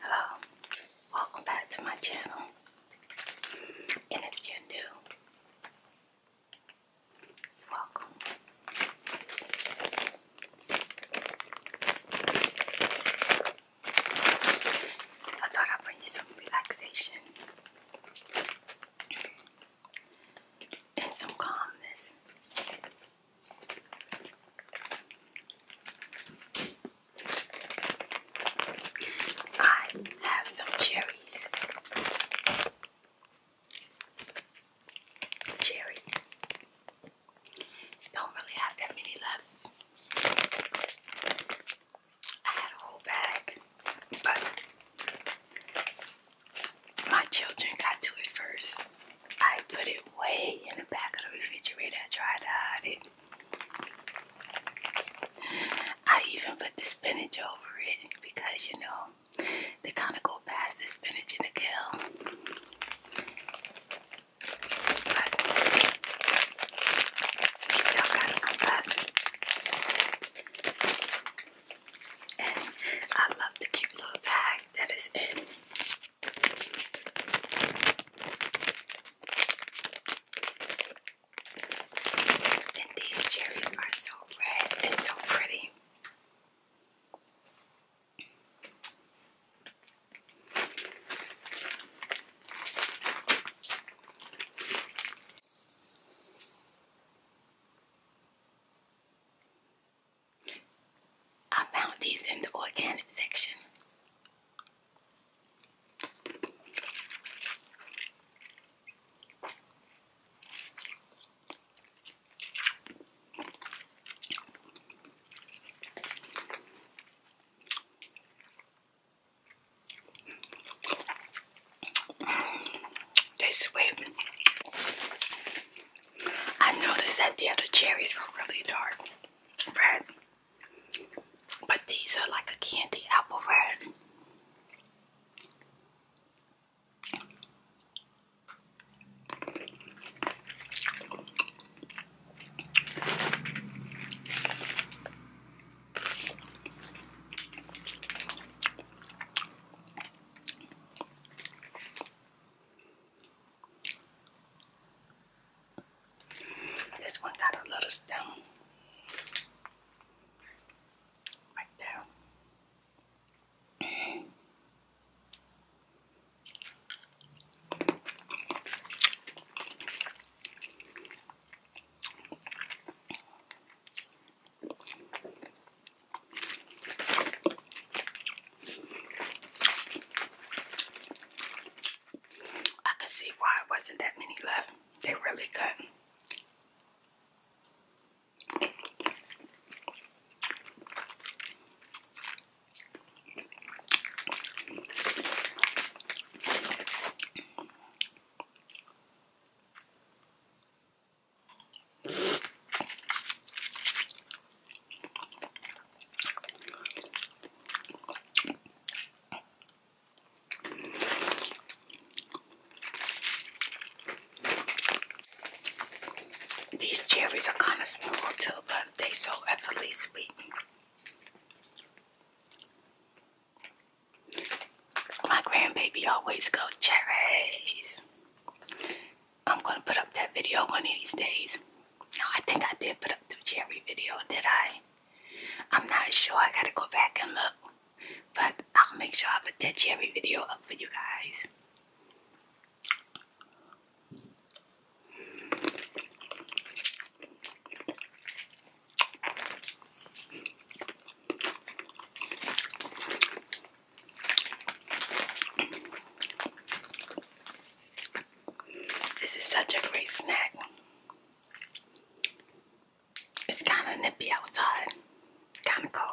Hello, welcome back to my channel. And if you're new, welcome. I thought I'd bring you some relaxation and some calmness. I have some cherries. Cherry. Don't really have that many left. I had a whole bag, but my children got to it first. I put it way in the back of the refrigerator. I tried to hide it. I even put the spinach over it because you know they kind of go past the spinach and the kale. still got some left. And I love the cute little bag that is in and these cherries are so red and so pretty. I found these in the organic section. They sweet. I noticed that the other cherries were really dark red. But these are like a candy apple red. This one got a little stone right there. I can see why it wasn't that many left. They really couldn't. These cherries are kind of small too, but they so ethically sweet. My grandbaby always go cherries. I'm gonna put up that video one of these days. No, I think I did put up the cherry video, did I? I'm not sure. I gotta go back and look. But I'll make sure I put that cherry video up for you guys. This is such a great snack. It's kind of nippy outside, It's kind of cold.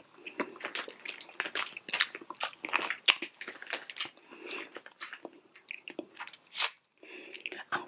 I'm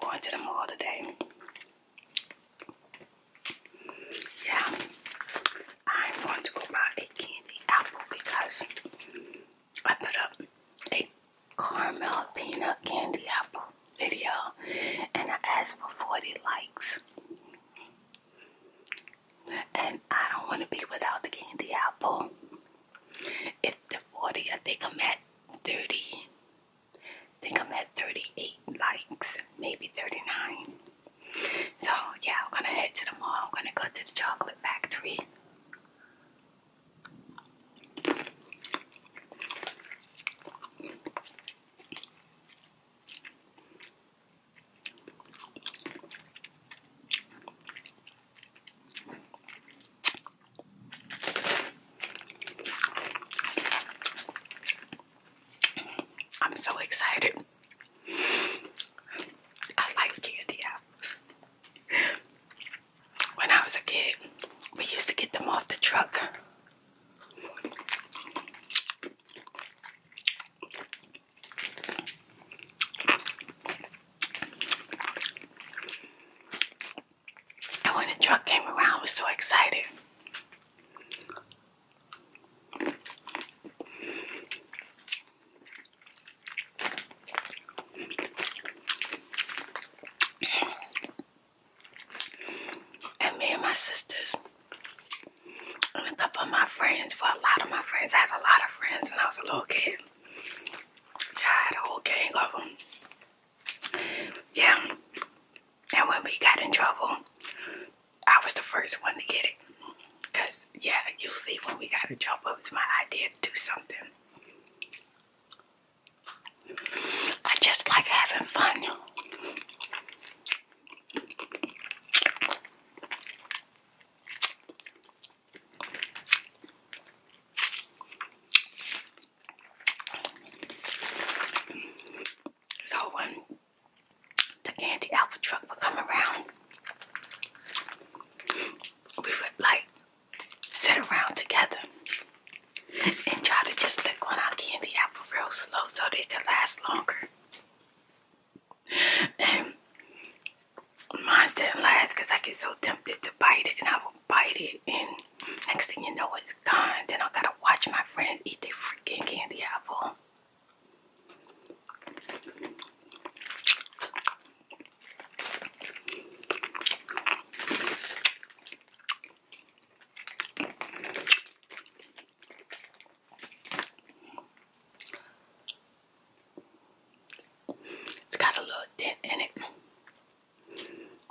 going to the mall today. Yeah, I'm going to go buy a candy apple because I put up a caramel peanut candy apple video and I asked for 40 likes. And I don't want to be without the candy apple. If the 40, I think I'm at 30. I think I'm at 38 likes, maybe 39. So yeah, I'm gonna head to the mall. I'm gonna go to the chocolate factory. I'm so excited. I like candy apples. When I was a kid, we used to get them off the truck. And when the truck came around, I was so excited. And me and my sisters and a couple of my friends, for a lot of my friends, I had a lot of friends when I was a little kid. Yeah, I had a whole gang of them. Yeah. And when we got in trouble, I was the first one to get it. Because, yeah, usually when we got in trouble, it was my idea to do something. I just like having fun. So when the candy Apple truck would come around, we would like sit around together and try to just lick on our candy apple real slow so they could last longer and mine didn't last because I get so tempted to bite it and I will bite it and next thing you know it's gone. Then I gotta watch my friends eat their freaking candy apple. It's got a little dent in it,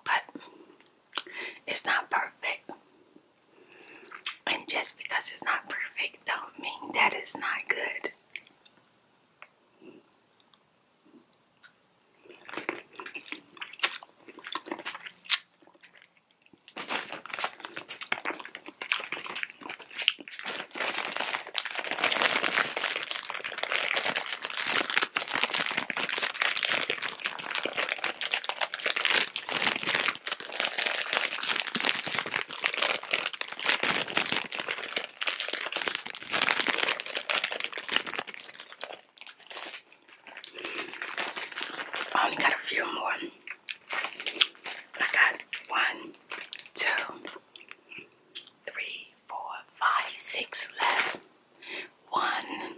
but it's not perfect. And just because it's not perfect, don't mean that it's not good. I oh, only got a few more. I got one, two, three, four, five, six left. One,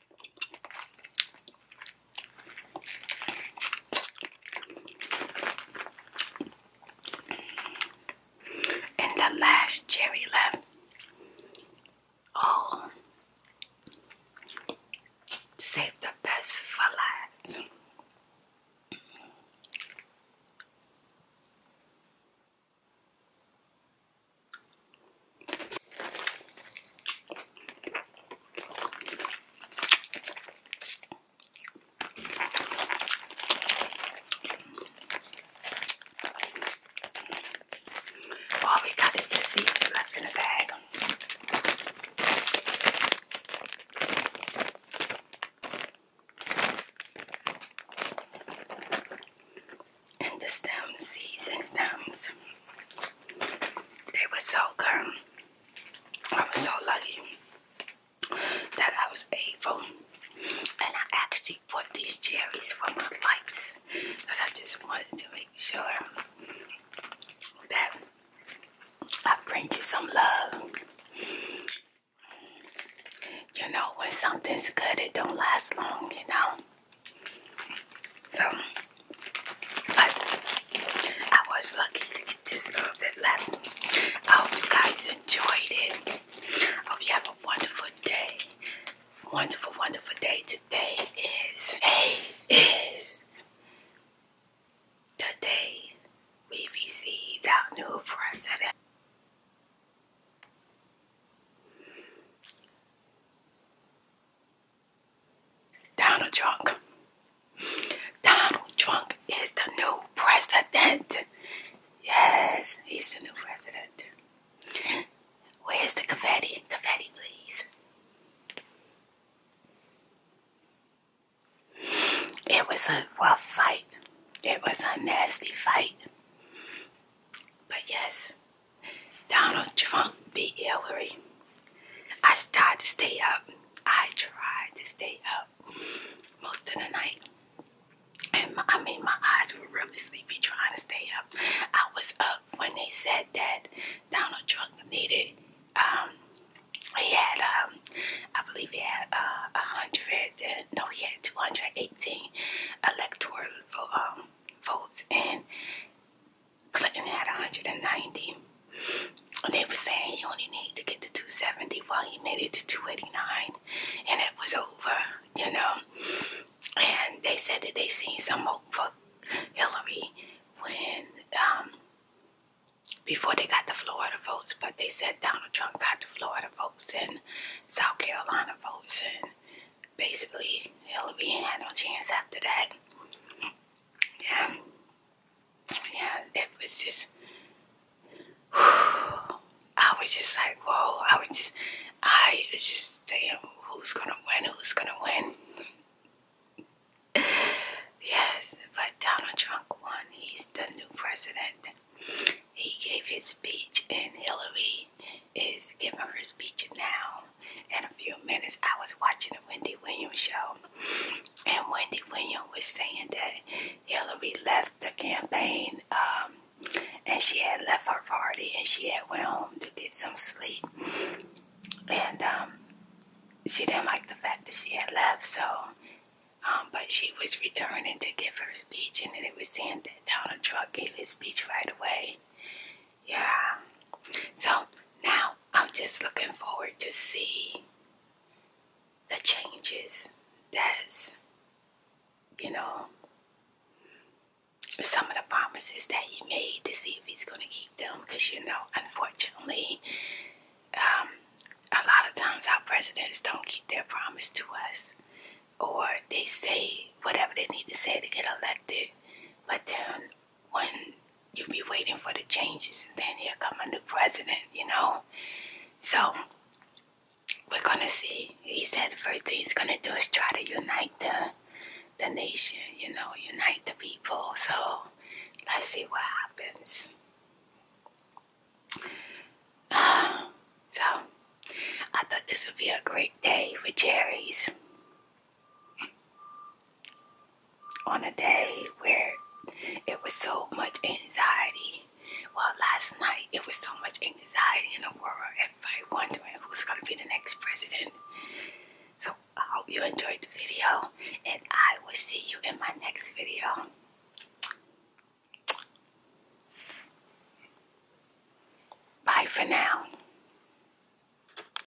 And the last cherry left. Oh, save the best for last. All we got is the seeds left in the bag. And the stems, seeds and stems. They were so good. I was so lucky that I was able and I actually bought these cherries for my lights because I just wanted to make sure that I bring you some love. You know, when something's good, it don't last long, you know. So, but I was lucky to get this little bit left. I hope you guys enjoyed it. I hope you have a wonderful day. Wonderful, wonderful day. Today is, today is the day we received our new president. Donald Trump. Donald Trump is the new president. Yes, he's the new president. Where's the confetti? Confetti, please. It was a rough fight. It was a nasty fight. But yes, Donald Trump beat Hillary. I tried to stay up. I tried to stay up most of the night. And I mean, my eyes were really sleepy trying to stay up. I was up when they said that Donald Trump needed, um, he had, um, I believe he had uh, 100, no, he had 218 electoral um, votes, and Clinton had 190. They were saying he only needed to get to 270 while well, he made it to 289 and it was over, you know. And they said that they seen some hope for Hillary when um before they got the Florida votes, but they said Donald Trump got the Florida votes and South Carolina votes, and basically Hillary had no chance after that yeah, yeah, it was just, I was just like, whoa, I was just, I was just saying, who's gonna win, who's gonna win. yes, but Donald Trump won, he's the new president. He gave his speech and Hillary is giving her speech now show. In a few minutes, I was watching the Wendy Williams show, and Wendy Williams was saying that Hillary left the campaign, um, and she had left her party, and she had went home to get some sleep, and um, she didn't like the fact that she had left, so. Um, but she was returning to give her speech, and it was saying that Donald Trump gave his speech right away. Yeah. So now I'm just looking forward to see the changes that's you know some of the promises that he made to see if he's going to keep them because you know unfortunately um, a lot of times our presidents don't keep their promise to us or they say whatever they need to say to get elected but then when you be waiting for the changes and then here come a new president, you know? So we're gonna see. He said the first thing he's gonna do is try to unite the the nation, you know, unite the people. So let's see what happens. so I thought this would be a great day for Jerry's on a day where it was so much anxiety. Well, last night it was so much anxiety in the world. Everybody wondering who's going to be the next president. So I hope you enjoyed the video and I will see you in my next video. Bye for now.